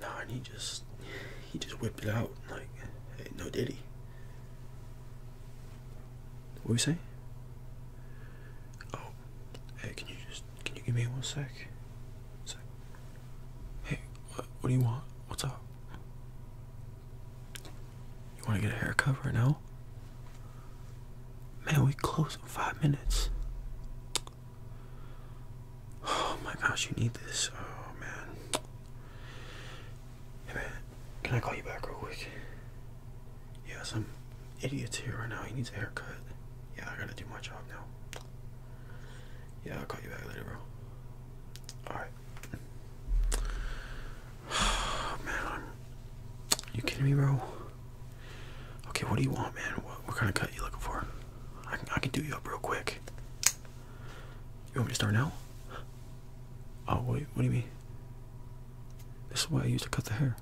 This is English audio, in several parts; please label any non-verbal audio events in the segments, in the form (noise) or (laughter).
No, and he just he just whipped it out like, hey, no did he?" What are you saying? Oh, hey, can you just can you give me one sec? Hey, what, what do you want? What's up? You want to get a haircut right now? Man, we close in five minutes. Oh my gosh, you need this. Oh man. man, can I call you back real quick? Yeah, some idiot's here right now. He needs a haircut. Yeah, I gotta do my job now. Yeah, I'll call you back later, bro. Alright. Oh, (sighs) man, You kidding me, bro? Okay, what do you want, man? What, kind of cut you looking for? I can I can do you up real quick. You want me to start now? Oh, wait, what do you mean? This is why I used to cut the hair.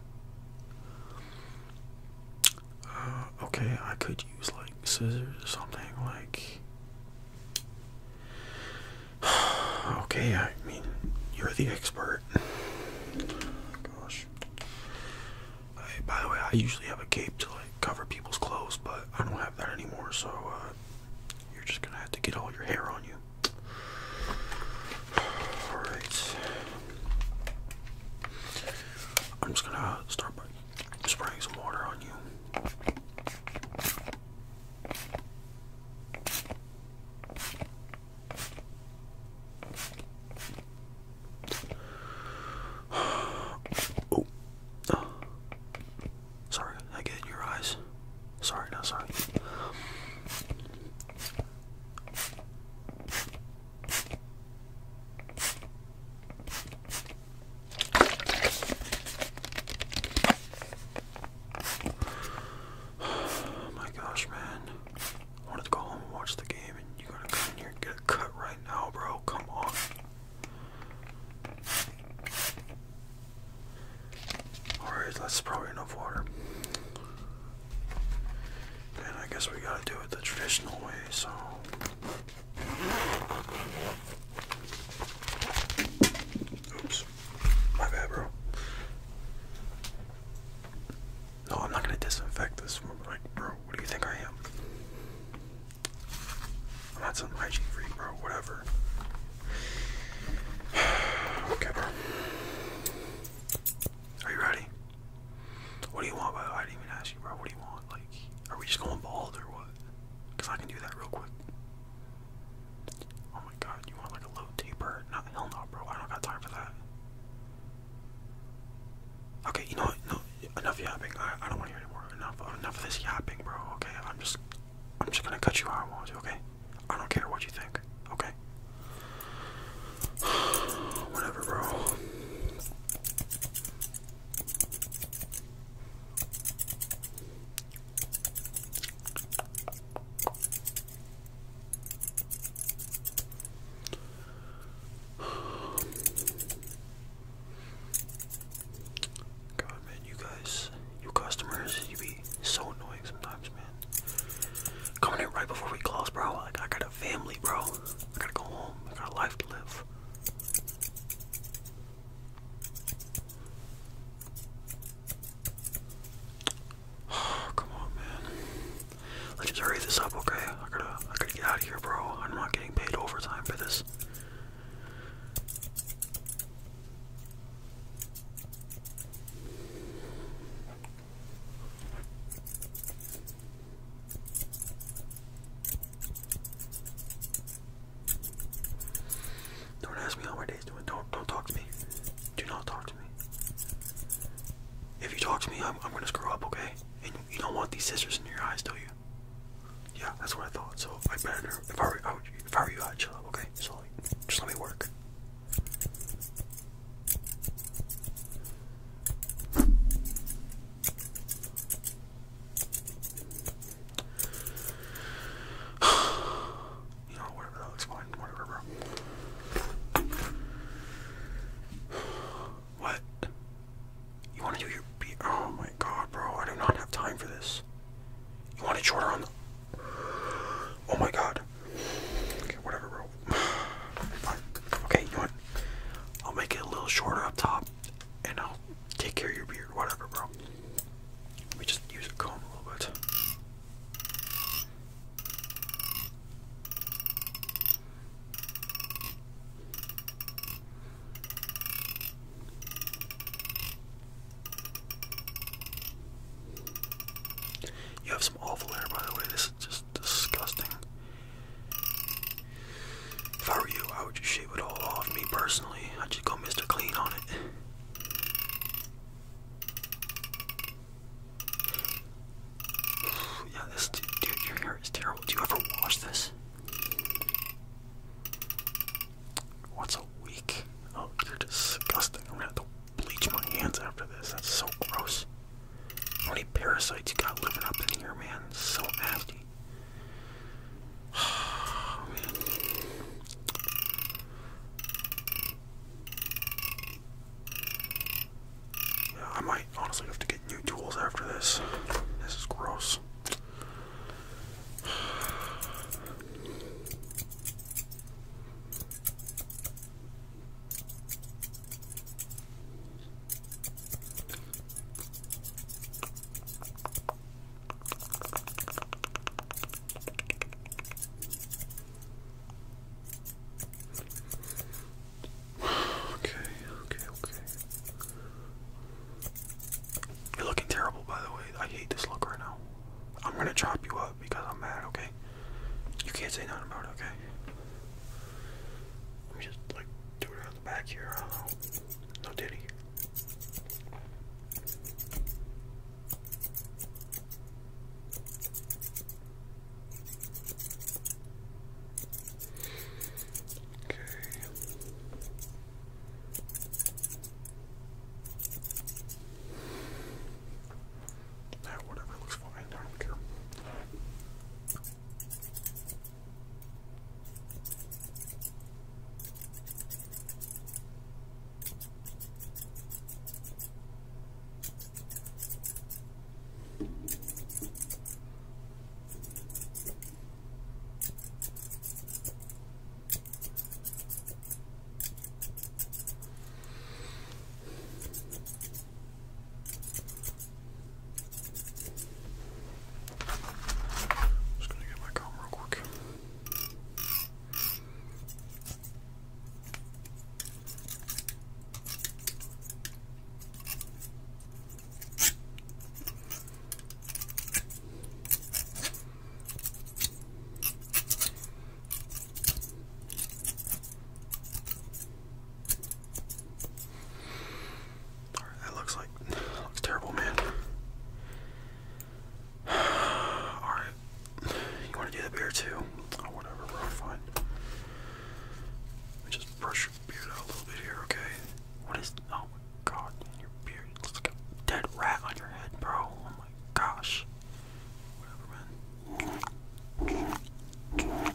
Uh, okay, I could use like scissors or something like. (sighs) okay, I mean, you're the expert. (sighs) Gosh. I, by the way, I usually have a cape to like cover people's clothes, but I don't have that anymore, so uh, you're just gonna have to get all your hair on you. (sighs) Alright. I'm just gonna start by spraying some water on you. Oh. oh. Sorry, I get in your eyes. Sorry, no, sorry. (sighs) Oh my gosh, man. I wanted to go home and watch the game, and you're gonna come in here and get a cut right now, bro. Come on. Alright, that's probably enough water. And I guess we gotta do it the traditional way, so. Oops. My bad, bro. No, I'm not gonna disinfect this. Like, bro, what do you think I am? I'm not some hygiene freak, bro. Whatever. (sighs) okay. Are you ready? What do you want? By the way, I didn't even ask you, bro. What do you want? Like, are we just going bald or what? Cause I can do that real quick. Oh my god, you want like a little taper? hell no, bro. I don't got time for that. Okay, you know what? No, enough yapping. I, don't want to hear anymore. Enough, enough of this yapping, bro. Okay, I'm just, I'm just gonna cut you how Okay, I don't care what you think. Okay. (sighs) Whatever, bro. God, man, you guys, you customers, you be so annoying sometimes, man. Coming in right before we close, bro. Like, I got a family, bro. I gotta go home. I got a life to live. (sighs) come on, man. Let's just hurry this up, okay? I gotta, I gotta get out of here, bro. I'm not getting paid overtime for this. Don't ask me how my day's doing. Don't don't talk to me. Do not talk to me. If you talk to me, I'm I'm gonna screw up, okay? And you don't want these scissors in your eyes, do you? Yeah, that's what I thought. So I better, if I were, if I were you, I'd chill out, okay? So just let me work. (sighs) you know, whatever, that looks fine. Whatever, bro. What? You want to do your beard? Oh my god, bro. I do not have time for this. You want it shorter on the. Oh my god. Okay, whatever, bro. (sighs) Fine. Okay, you want? I'll make it a little shorter up top and I'll take care of your beard. Whatever, bro. Let me just use a comb a little bit. You have some awful hair, by the way. This is just disgusting. If I were you, I would just shave it all off. Me personally, I'd just go Mr. Clean on it. (sighs) Yeah, this dude, your hair is terrible. Do you ever wash this? Once a week? Oh, you're disgusting. I'm gonna have to bleach my hands after this. That's so gross. How many parasites you got living up in here, man? so nasty. (sighs) Oh, man. Yeah, I might honestly have to get new tools after this. This is gross. (sighs) Okay, okay, okay. You're looking terrible, by the way. I hate this look right now. I'm gonna chop you up because I'm mad, okay? You can't say nothing about it, okay? Let me just, like, do it around the back here. I don't know. No diddy. Okay. Nah, whatever looks fine. I don't care. Just gonna get my comb real quick that looks like looks terrible, man. (sighs) Alright, you want to do the beer too? oh, whatever, bro. Fine. Let just brush your beard out a little bit here, okay? What is. Oh my god, your beard dead rat on your head, bro. Oh my gosh. Whatever, man.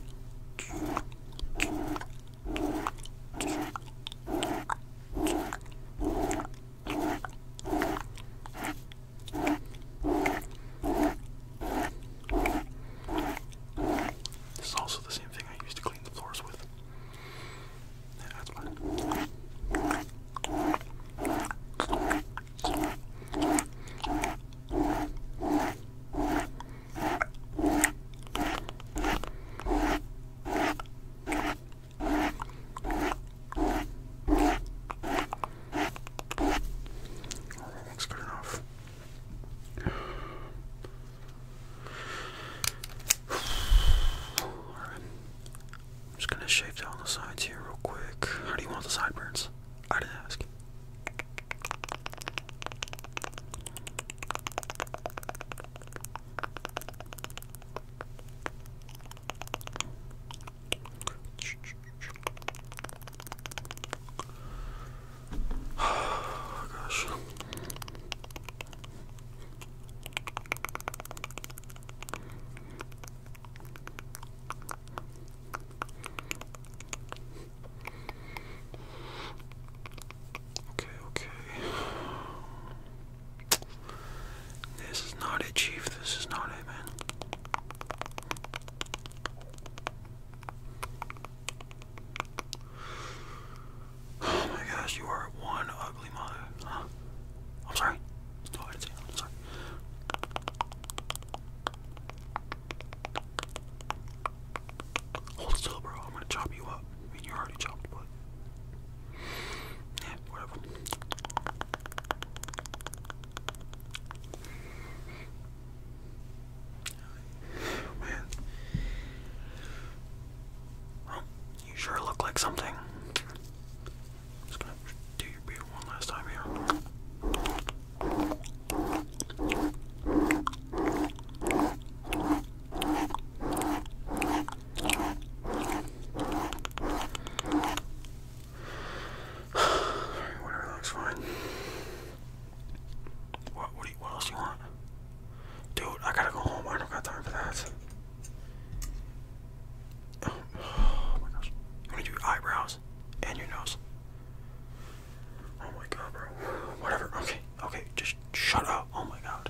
This is also the same thing I used to clean the floors with. that's fine. Alright, good enough. I'm just gonna shave down the sides here real quick. How do you want the sideburns? I didn't ask gosh. Okay, okay. (sighs) This is not a Chief. This is not a man. Oh my gosh, you are one ugly mother. Huh? I'm sorry. Oh, sorry. Hold still, bro. I'm gonna chop you up. I mean, you're already chopped, but. Yeah, whatever man. you sure look like something. just gonna do your beard one last time here whatever looks fine. What what, else you want? Dude, I gotta go home. I don't got time for that. Oh, oh, my gosh. You wanna do eyebrows and your nose? Oh my god, bro. Whatever. Okay, okay, just shut up. Oh my god.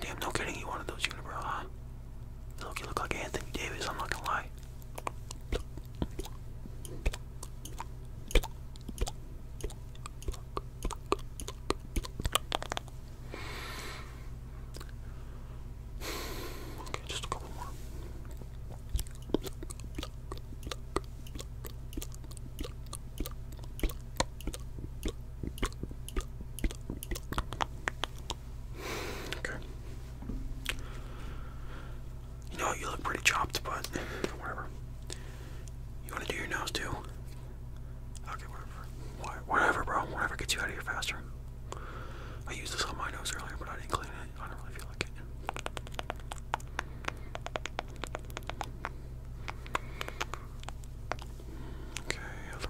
Damn, no kidding, you wanted those unibrow, huh? Look, you look like Anthony Davis, I'm not gonna lie. Okay, just a couple more. Okay. You know, you look pretty chopped, but whatever. You want to do your nose too? Okay, whatever. Whatever, bro. Whatever gets you out of here faster. I used this on my nose earlier, but I didn't clean it. I don't really feel like it. Okay, other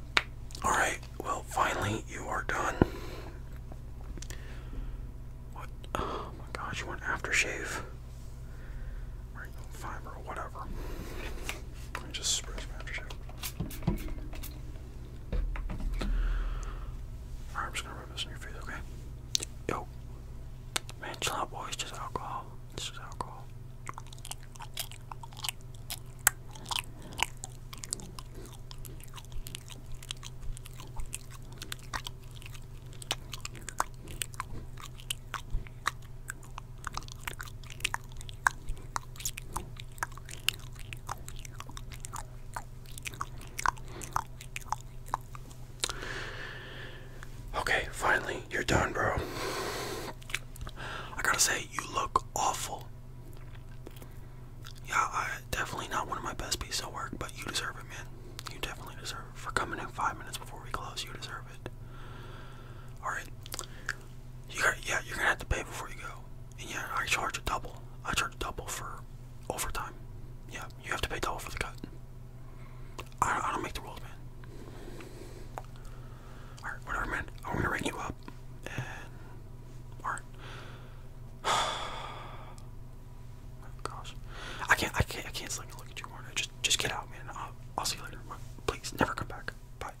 (sighs) Alright, well, finally, you are done. What? (sighs) Oh my gosh, you want aftershave? Right, fiber or whatever. Let me just spray some aftershave. Alright, I'm just gonna rub this in your face, okay? Yo. Man, chill out, boy. just alcohol. It's just alcohol. Okay, finally, you're done, bro. I gotta say, you look awful. Yeah, I definitely not one of my best pieces of work, but you deserve it, man. You definitely deserve it. For coming in five minutes before we close, you deserve it. Alright yeah, you're gonna have to pay before you go. yeah, I charge a double. I charge a double for overtime. Yeah, you have to pay double for the cut. I, don't make the rules, man. Alright, whatever, man. I'm gonna ring you up. And (sighs) oh, gosh, I can't, I can't, I can't sleep and look at you, Warner. Just, just get out, man. I'll, I'll see you later. Please, never come back. Bye.